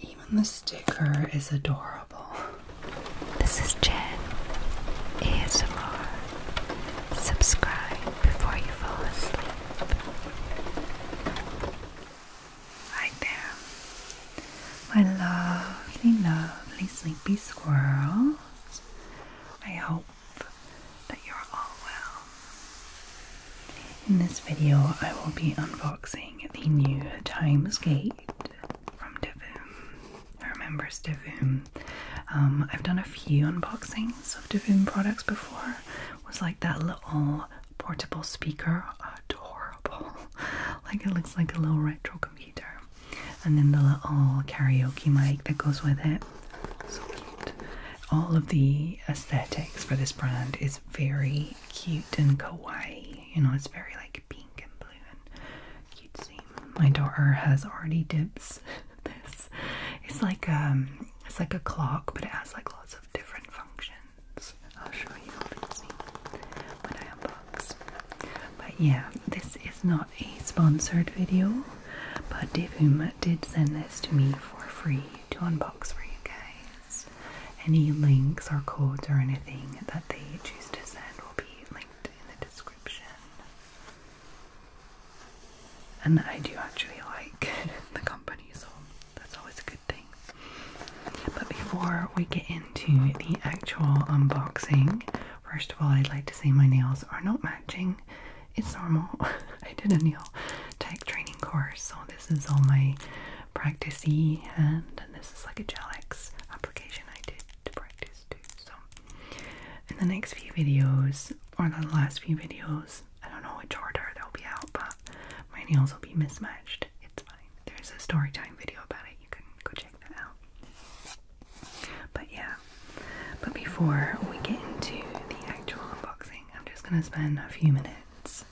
Even the sticker is adorable. This is Jen ASMR. Subscribe before you fall asleep. Right there. My lovely, lovely sleepy squirrels. I hope that you're all well. In this video, I will be unboxing the new Times from Divoom. Who remembers um, I've done a few unboxings of Divoom products before, was like that little portable speaker. Adorable. like it looks like a little retro computer. And then the little karaoke mic that goes with it. So cute. All of the aesthetics for this brand is very cute and kawaii. You know, it's very like pink and blue and cute. See, My daughter has already dips this. It's like um it's like a clock, but it has like lots of different functions. I'll show you when I unbox. But yeah, this is not a sponsored video, but Devum did send this to me for free to unbox for you guys. Any links or codes or anything that they choose to send will be linked in the description and I do actually like the company, so that's always a good thing. But before we get into the actual unboxing, first of all, I'd like to say my nails are not matching. It's normal. I did a nail tech training course, so this is all my practicey hand, and this is like a gel X application I did to practice too. So, in the next few videos, or the last few videos, I don't know which order they'll be out, but my nails will be mismatched. It's fine. There's a story video about it. You can go check that out. But yeah. But before we get into the actual unboxing, I'm just gonna spend a few minutes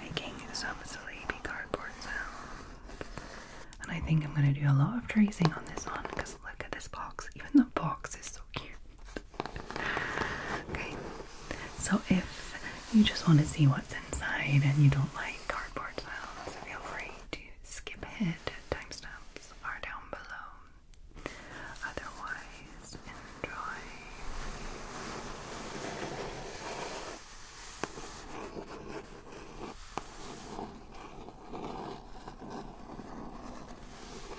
making some silly cardboard sounds. And I think I'm gonna do a lot of tracing on this one because look at this box. Even the box is so cute okay, so if you just want to see what's inside and you don't like cardboard sounds, feel free to skip ahead. Timestamps are down below. Otherwise, enjoy.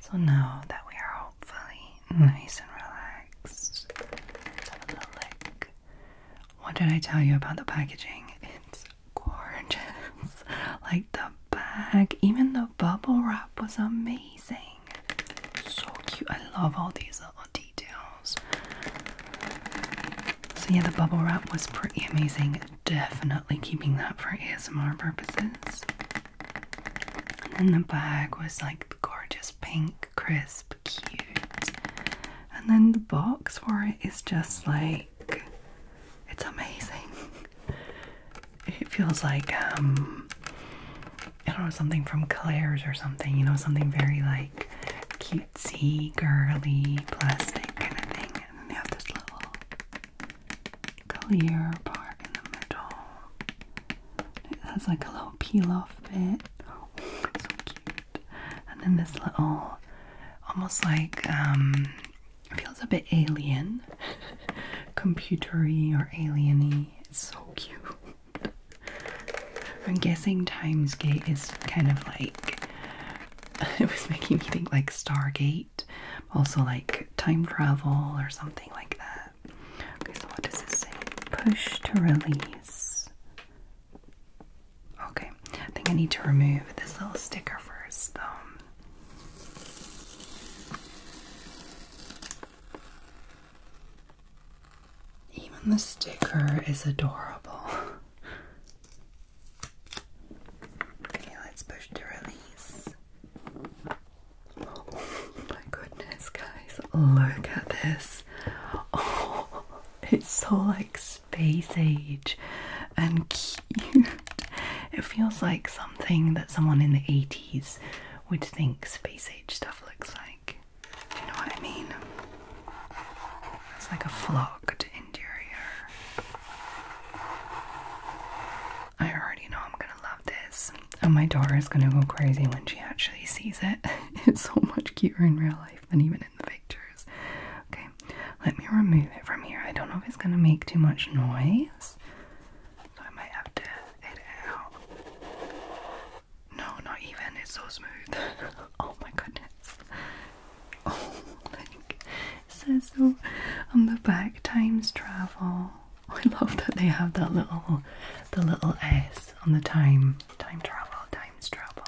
So now that we are hopefully nice and relaxed, What did I tell you about the packaging? It's gorgeous. like the bag, even the bubble wrap was amazing. So cute. I love all these little details. So yeah, the bubble wrap was pretty amazing definitely keeping that for ASMR purposes. And then the bag was like gorgeous pink, crisp, cute. And then the box for it is just like it's amazing. it feels like um I know something from Claire's or something, you know, something very like cutesy, girly, plastic kind of thing. And they have this little clear part in the middle. It has like a little peel off bit. Oh, so cute. And then this little, almost like, um, feels a bit alien, computery or alieny. It's so cute. I'm guessing Times Gate is kind of like it was making me think like Stargate also, like time travel or something like that. Okay, so what does this say? Push to release. Okay, I think I need to remove this little sticker first, though. Even the sticker is adorable. okay, let's push to release. Oh my goodness, guys, look at this. Oh, it's so like space age and cute. It feels like something that someone in the 80s would think space age stuff looks like. You know what I mean? It's like a flocked interior. I already know I'm gonna love this. And my daughter is gonna go crazy when she actually sees it. it's so much cuter in real life than even in the pictures. Okay, let me remove it from here. I don't know if it's gonna make too much noise. So I might have to edit out. No, not even. It's so smooth. oh my goodness. Oh, like, it so on the back, times travel. I love that they have that little the little S on the time. Time travel, times travel.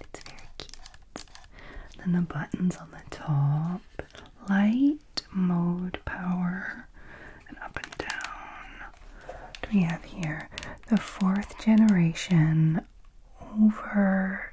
It's very cute. Then the buttons on the top. Light, mode, power, and up and down. What do we have here? The fourth generation over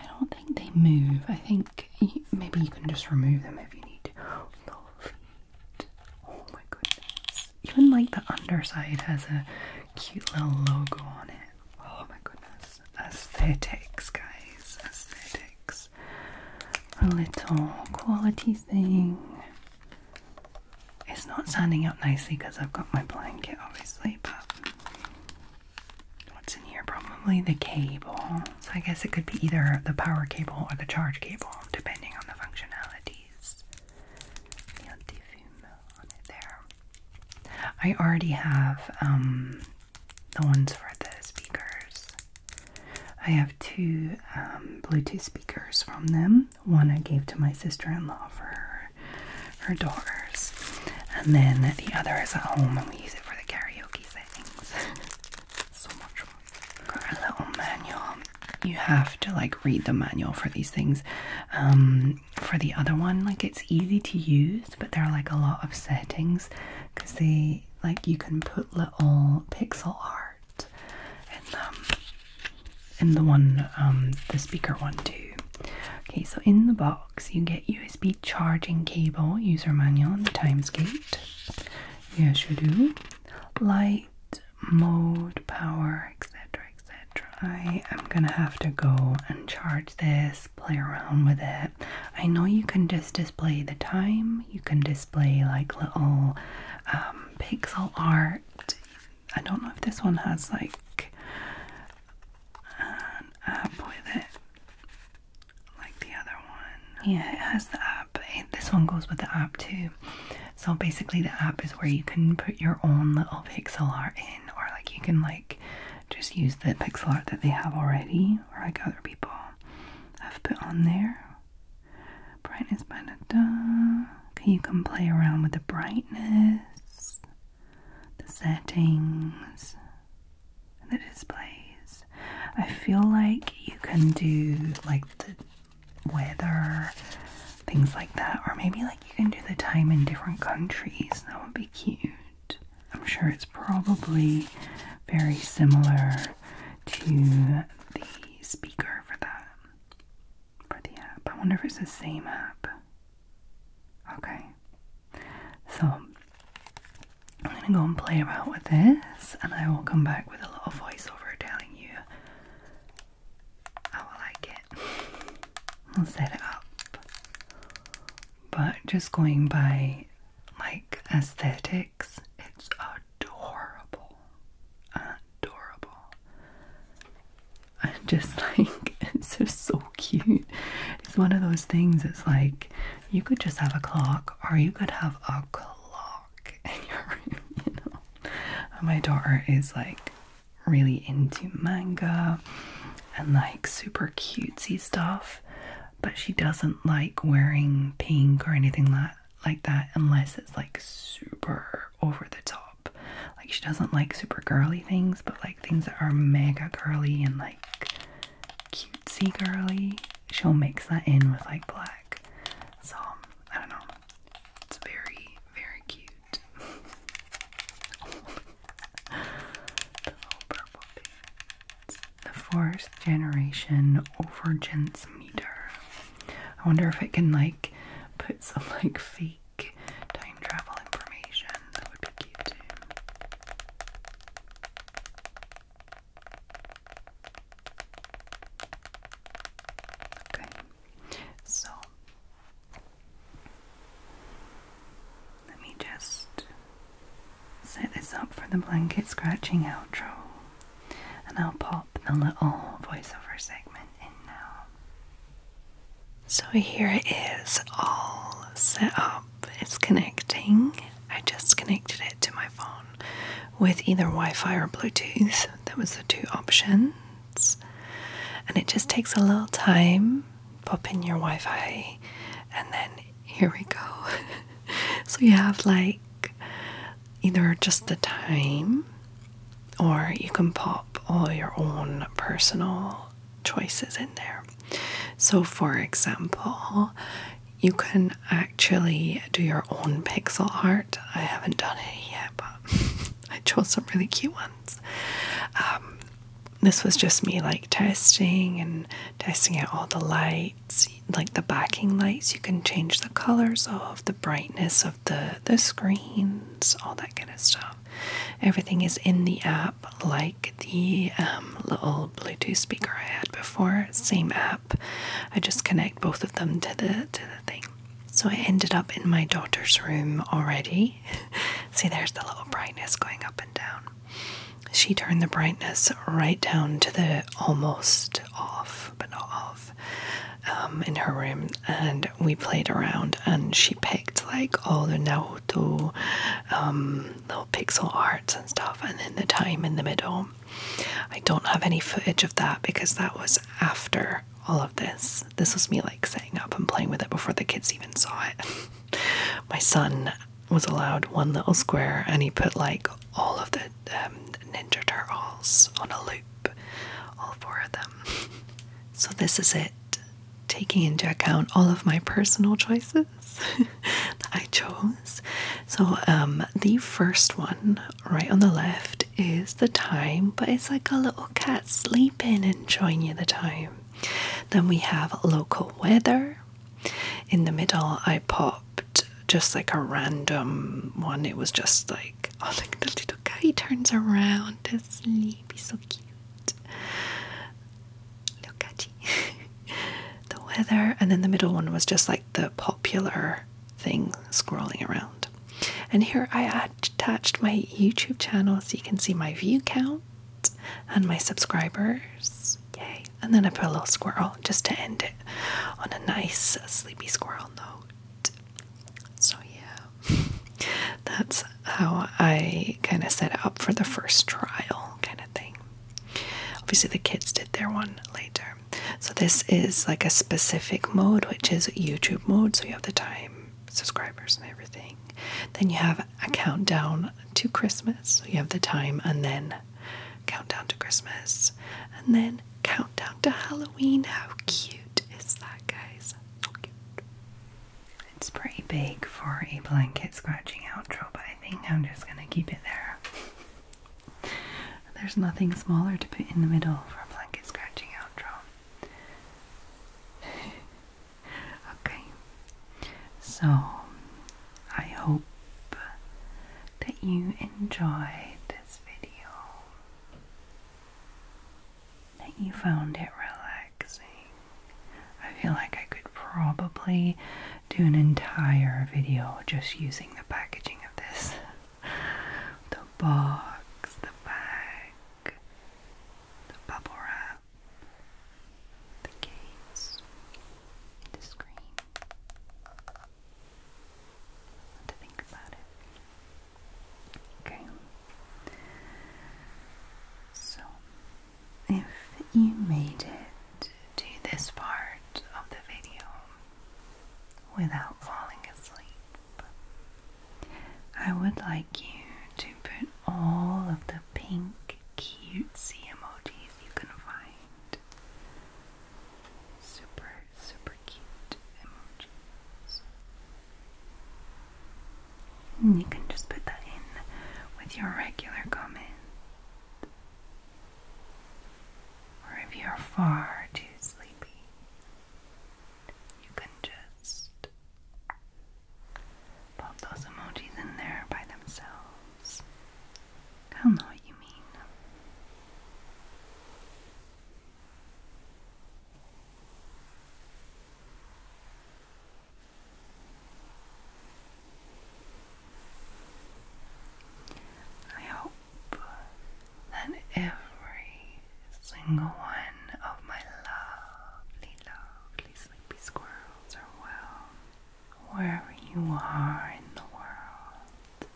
I don't think they move. I think maybe you can just remove them if you need Oh my goodness. Even like the underside has a cute little logo on it. Oh my goodness. Aesthetics, guys. Aesthetics. A little quality thing. It's not standing out nicely because I've got my blanket, obviously, but What's in here? Probably the cable. So I guess it could be either the power cable or the charge cable, depending on the functionalities. I already have um, the ones for the speakers. I have two um, Bluetooth speakers from them. One I gave to my sister-in-law for her, daughters, and then the other is at home and we use it for the carry little oh, manual. You have to like read the manual for these things. Um, for the other one, like it's easy to use, but there are like a lot of settings because they like you can put little pixel art in um in the one um the speaker one too. Okay, so in the box box, you get USB charging cable, user manual, and the times gate. Yes, you do. Light, mode, power, etc., etc. I am gonna have to go and charge this, play around with it. I know you can just display the time, you can display like little um, pixel art. I don't know if this one has like an app with like the other one. Yeah, it has the app. this one goes with the app too. So basically, the app is where you can put your own little pixel art in, or like you can like just use the pixel art that they have already, or like other people have put on there. Brightness, da da. Okay, you can play around with the brightness, the settings the displays. I feel like you can do like the weather, things like that, or maybe like you can do the time in different countries. That would be cute. I'm sure it's probably very similar to the speaker for that, for the app. I wonder if it's the same app. Okay, okay. So I'm gonna go and play around with this, and I will come back with a little voiceover telling you how I like it. I'll set it up, but just going by like aesthetics, it's adorable, adorable, and just like it's just so cute. It's one of those things. It's like you could just have a clock or you could have a clock in your room, you know. My daughter is like really into manga and like super cutesy stuff, but she doesn't like wearing pink or anything that like that unless it's like super over the top. Like she doesn't like super girly things, but like things that are mega girly and like cutesy girly, she'll mix that in with like black. So I don't know. It's very, very cute. the fourth generation overgence meter. I wonder if it can like put some like fake time travel information that would be cute Okay, so let me just set this up for the blanket scratching outro, and I'll pop the little voiceover segment in now. So here it is, all set up it's connecting. I just connected it to my phone with either Wi Fi or Bluetooth. That was the two options. And it just takes a little time. Pop in your Wi Fi, and then here we go. so you have like either just the time, or you can pop all your own personal choices in there. So, for example, you can actually do your own pixel art. I haven't done it yet, but I chose some really cute ones. Um, this was just me like testing and testing out all the lights, like the backing lights. You can change the colors of, the brightness of the the screens, all that kind of stuff. Everything is in the app like the um, little Bluetooth speaker I had before. Same app. I just connect both of them to the to the thing. So I ended up in my daughter's room already. See, there's the little brightness going up and down. She turned the brightness right down to the almost off, but not off, um, in her room, and we played around. And she picked like all the Naruto um, little pixel arts and stuff, and then the time in the middle. I don't have any footage of that because that was after all of this. This was me like setting up and playing with it before the kids even saw it. My son was allowed one little square and he put like all of the um, Ninja Turtles on a loop, all four of them. So, this is it, taking into account all of my personal choices I chose. So, um, the first one right on the left is the time, but it's like a little cat sleeping and showing you the time. Then we have local weather. In the middle, I popped just like a random one. It was just like, oh, like the little guy turns around to sleep. He's so cute. Lokachi. the weather, and then the middle one was just like the popular thing scrolling around. And here I attached my YouTube channel so you can see my view count and my subscribers. Yay. And then I put a little squirrel just to end it on a nice sleepy squirrel note. So, yeah, that's how I kind of set up for the first trial kind of thing. Obviously, the kids did their one later. So, this is like a specific mode, which is YouTube mode. So, you have the time, subscribers, and everything. Then you have a countdown to Christmas. you have the time, and then countdown to Christmas, and then countdown to Halloween. How cute is that, guys? It's pretty big for a blanket scratching outro, but I think I'm just gonna keep it there. There's nothing smaller to put in the middle for a blanket scratching outro. okay, so I hope that you enjoyed this video, that you found it relaxing, I feel like I could probably do an entire video just using the packaging of this. The box, the bag, the bubble wrap, the case, the screen. to think about it. Okay. So if you made it to this part of the video without falling asleep. I would like you to put all of the pink cutesy emojis you can find. Super, super cute emojis. And you can just put that in with your regular comment. Or if you're far too sleepy, you can just pop those emojis in there by themselves. I'll know what you mean. I hope that every single one of my lovely, lovely sleepy squirrels are well, wherever you are in the world,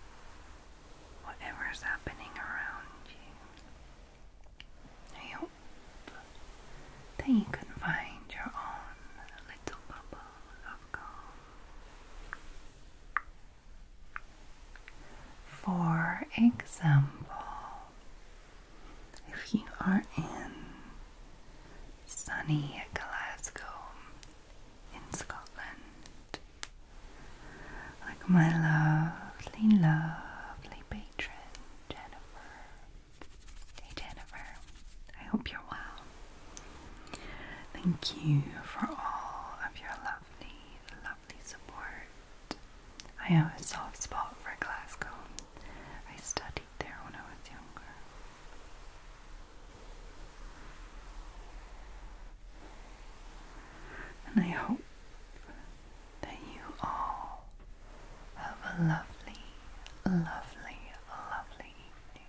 whatever's happening around you. I hope that you can find your own little bubble of calm for example, if you are in sunny Glasgow in Scotland, like my lovely, lovely patron Jennifer. Hey Jennifer, I hope you're well. Thank you for all of your lovely, lovely support. I have a soft spot for Glasgow. I studied there when I was younger. And I hope that you all have a lovely, lovely, lovely evening